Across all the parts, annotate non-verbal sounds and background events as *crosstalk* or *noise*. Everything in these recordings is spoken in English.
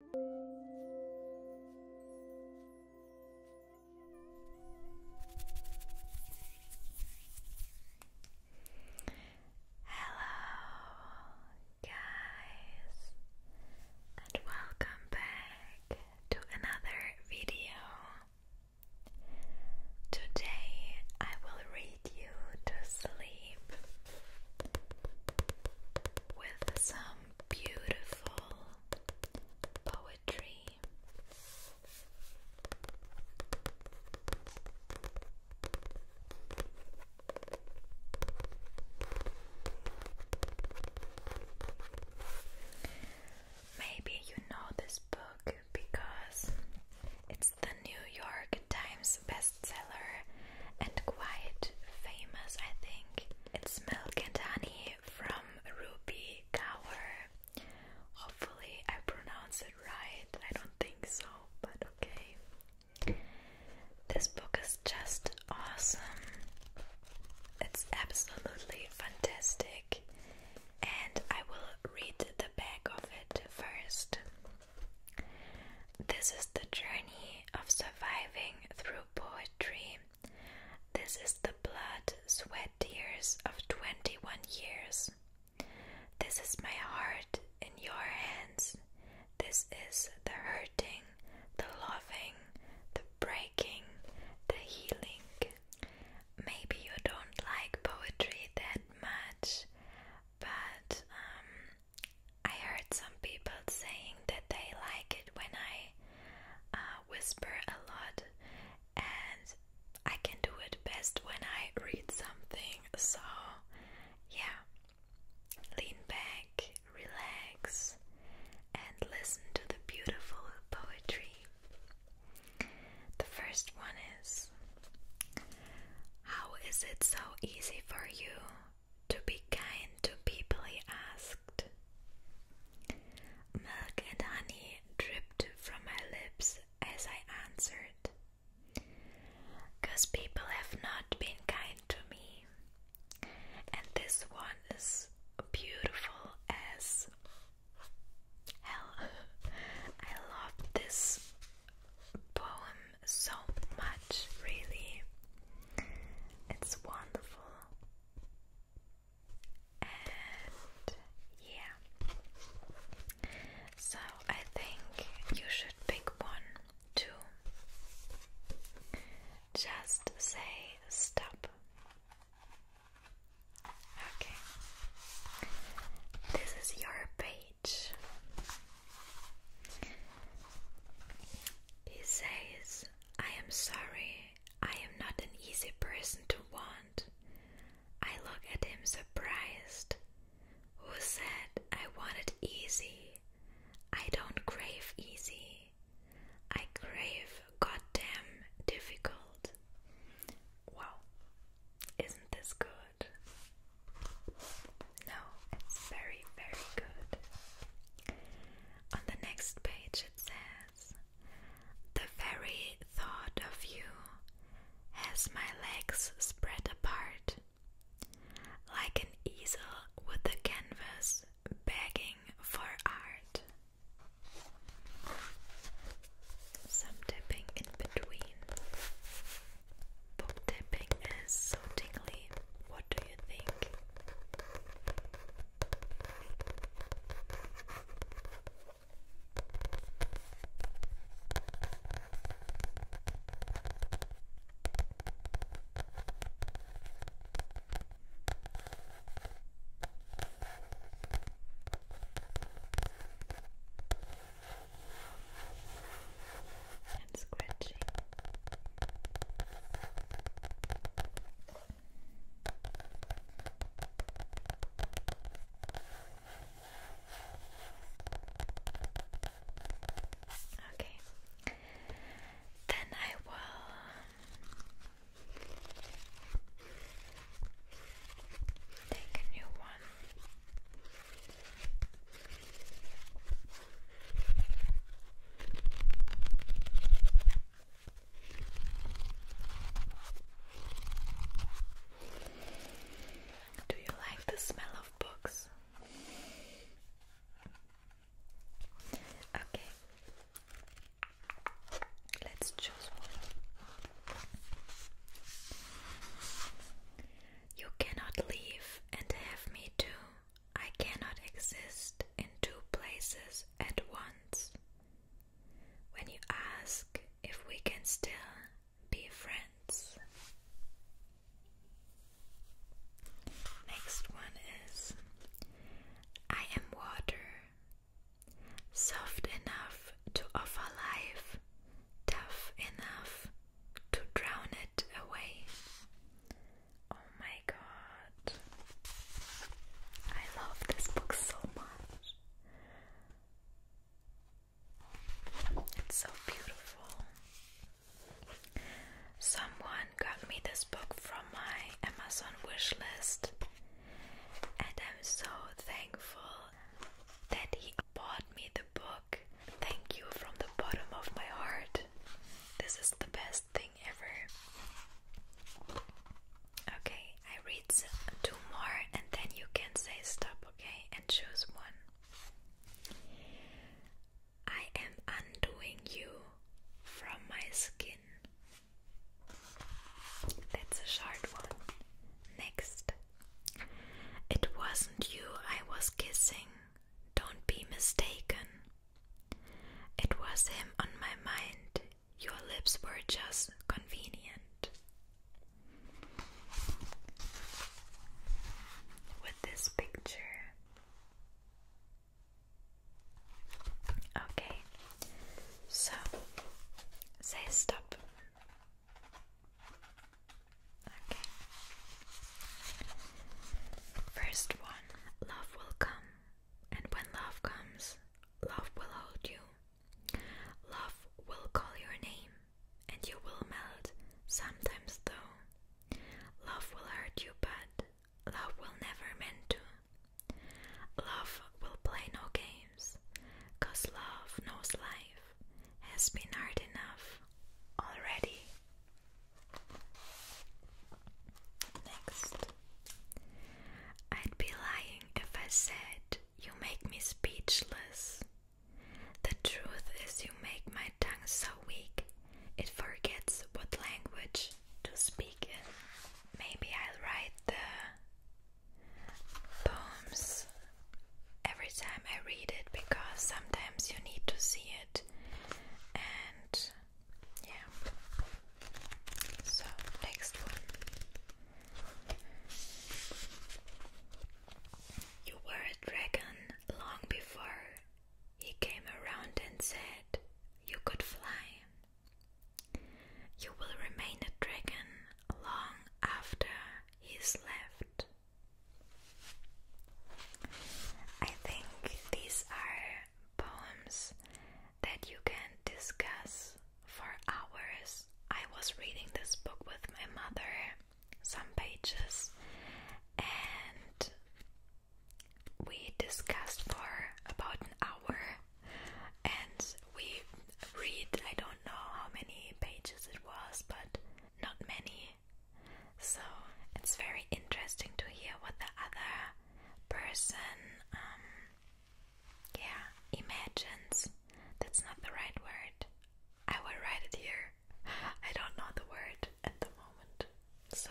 Hello, guys, and welcome back to another video. Today I will read you to sleep with some beautiful poetry. Maybe you know this book because it's the New York Times bestseller and quite famous, I think. It's milk and honey from Ruby Gower. Hopefully, I pronounce it right. I don't think so, but okay. This book is just awesome. It's absolutely fantastic, and I will read the back of it first. This is the journey of surviving through poetry. This is the blood, sweat, tears of 21 years. This is my heart in your hands. This is the hurting, the loving, the breaking, the healing. Maybe you don't like poetry that much, but um, I heard some people saying that they like it when I uh, whisper a lot, and I can do it best when I read something. So, yeah, lean back, relax, and listen to the beautiful poetry. The first one is How is it so easy for you to be kind to people, he asked. Milk and honey dripped from my lips as I answered. Because people have not been kind to me. And this one is beautiful as hell. *laughs* I love this poem so much, really. It's wonderful. And yeah. So I think you should pick one too. Just say stop. Okay. This is your page. He says, I am sorry, I am not an easy person to want. I look at him surprised. Who said I wanted easy? I don't crave easy. I crave goddamn difficult. Wow, isn't this good? No, it's very, very good. On the next page, it says, The very thought of you has my legs spread apart, like an easel with a canvas begging for art. Some dipping in between. Book tapping is so What do you think? and scratching. Okay, then I will. Take a new one. Do you like the smell of books? Okay, let's choose one. You cannot leave and have me too. I cannot exist in two places at once. When you ask if we can still be friends, next one is I am water, soft enough to offer life, tough enough to drown it away. Oh my god. I love this book so much. It's so beautiful. Someone got me this book from my Amazon wish and I'm so thankful that he bought me the book Thank you from the bottom of my heart. This is the best thing ever. Okay, I read two more and then you can say stop, okay? And choose one. I am undoing you from my skin. That's a hard one. Next. It wasn't you I was kissing don't be mistaken. It was him on my mind. Your lips were just convenient. With this picture. Okay, so say stop. Okay. First one love will come, and when love comes, love will hold you. Love will call your name, and you will melt, sometimes though. Love will hurt you, but love will never meant to. Love will play no games, cause love knows life has been hard enough already. Next, I'd be lying if I said you make me speechless. The truth is, you make my tongue so weak it forgets what language to speak in. Maybe I'll write the poems every time I read it because sometimes you need to see and yeah so next one you were a dragon long before he came around and said you could fly you will remain a dragon long after he's left I think these are poems that you can discuss for hours. I was reading this book with my mother, some pages, and we discussed for about an hour. And we read, I don't know how many pages it was, but not many. So it's very interesting to hear what the other person, um, yeah, imagines. That's not the right word. I will write it here. *laughs* I don't know the word at the moment. So.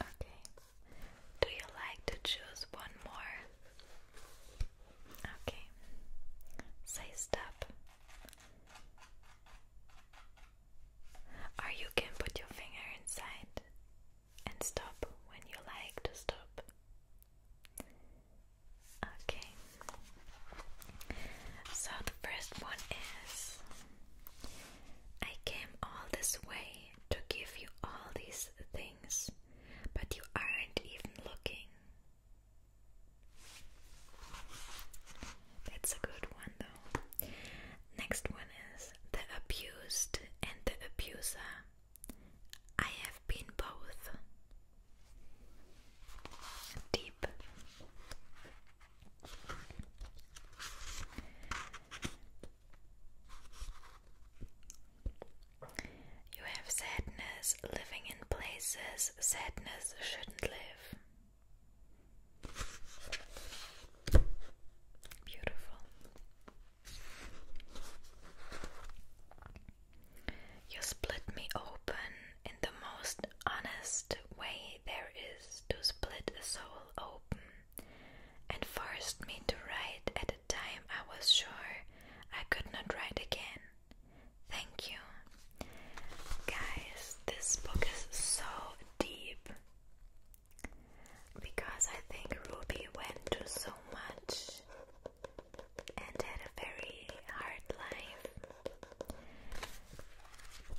Okay. Do you like to choose one more? Okay. Say stop. Or you can put your finger inside and stop when you like to stop. Okay. So the first one is I came all this way to give you all these things, but you aren't even looking. That's a good one, though. Next one is the abused and the abuser. I have been both. Deep. You have sadness living in places sadness shouldn't live. Beautiful. You split me open in the most honest way there is to split a soul open, and forced me to write at a time I was sure I could not write again. Thank you. Guys, this book is so deep because I think Ruby went through so much and had a very hard life.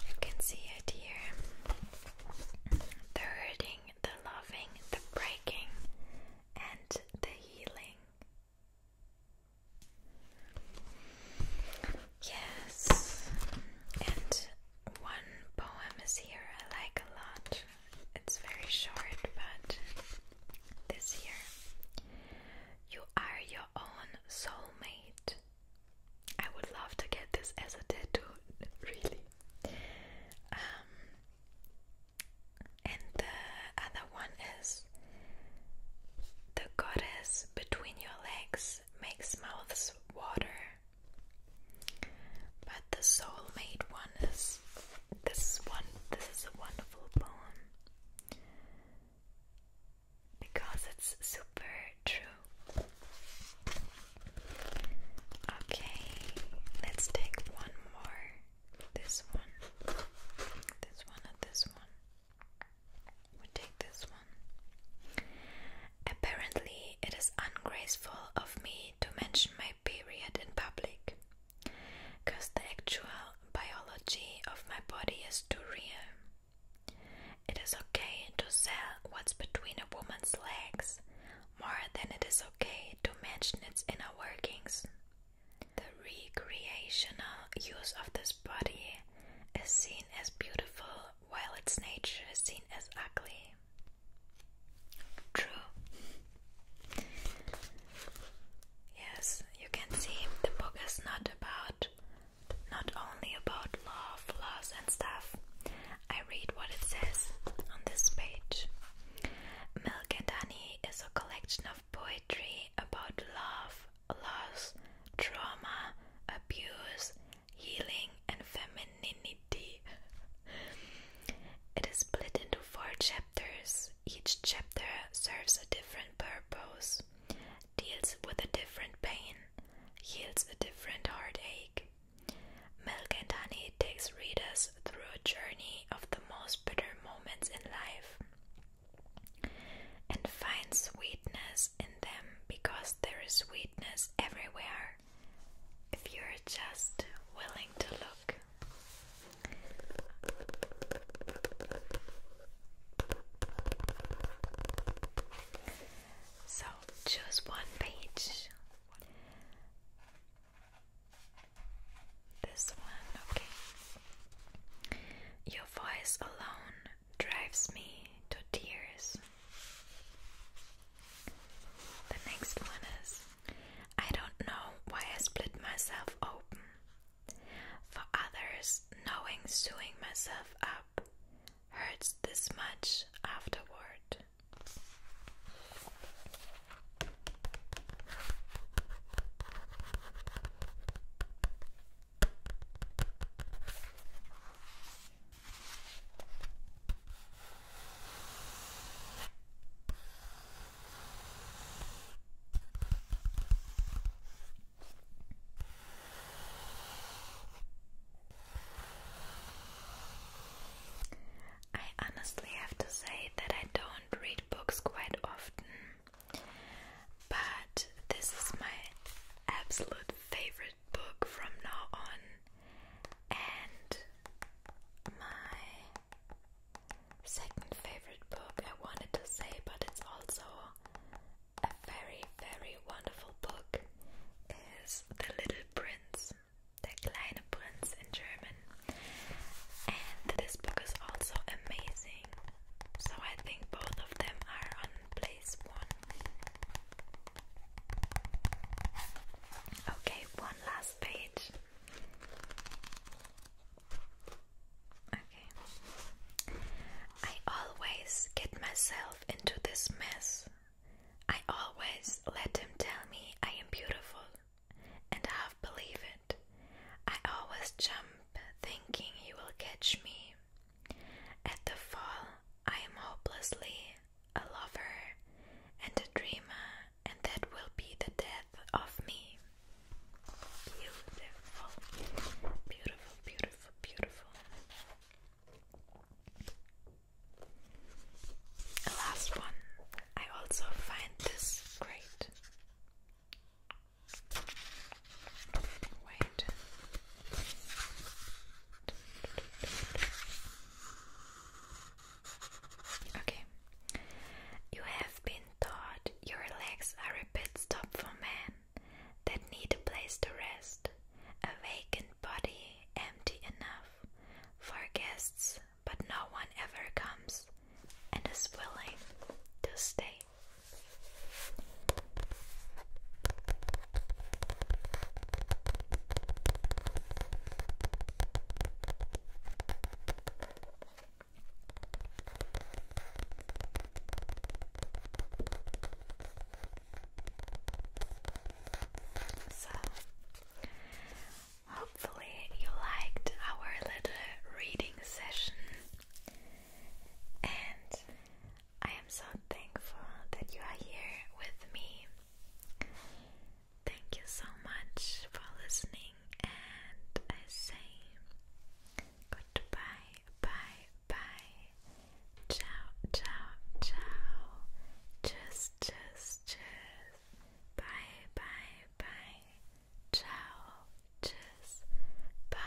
You can see it here the hurting, the loving, the breaking, and the healing. Yes, and one poem is here I like a lot. It's very short, but this here. You are your own soulmate. I would love to get this as a tattoo, really. Um, and the other one is the goddess between your legs makes mouths water. But the soul made one is this one this is a wonderful poem because it's super true. Okay, let's take one more. This one, this one, and this one. We take this one. Apparently, it is ungraceful of me to mention my period in public, because the actual biology of my body is too real. It is okay to sell what's between a woman's legs more than it is okay to mention its inner workings. The recreational use of this body is seen as beautiful while its nature is seen as ugly. True. Yes, you can see the book is not about not only about love, loss and stuff. I read what it says on this page. Milk and Honey is a collection of poetry about love, loss, trauma, abuse, healing, and femininity. It is split into four chapters. Each chapter serves a different purpose, deals with a different pain, heals a different heartache. Milk and Honey takes readers through a journey of the most bitter moments in life and find sweetness in them because there is sweetness everywhere if you're just willing to look. So choose one page. This one, okay. Your voice alone drives me to tears. The next one is I don't know why I split myself open. For others, knowing sewing myself up hurts this much afterward. I honestly have to say that I don't read books quite often. But this is my absolute favorite book from now on, and my second favorite book I wanted to say, but it's also a very, very wonderful book is The Little Prince, Der kleine Prinz in German. And this book is also amazing. So I think both of them are on place one. Okay, one last page. Okay. I always get myself into this mess. I always let him tell me I am beautiful and believe it. I always jump thinking you will catch me. At the fall, I am hopelessly a lover and a dreamer, and that will be the death of me. Beautiful, beautiful, beautiful, beautiful. last one. I also find this great. Okay. You have been taught your legs are a pit stop for men that need a place to rest, a vacant body empty enough for guests, but no one ever comes and is willing to stay. So, hopefully, you liked our little reading session and I am so thankful that you are here with me. Thank you so much for listening, and I say goodbye, bye, bye. Ciao, ciao, ciao. Tschüss, tschüss, tschüss. Bye, bye, bye. Ciao. Just Bye.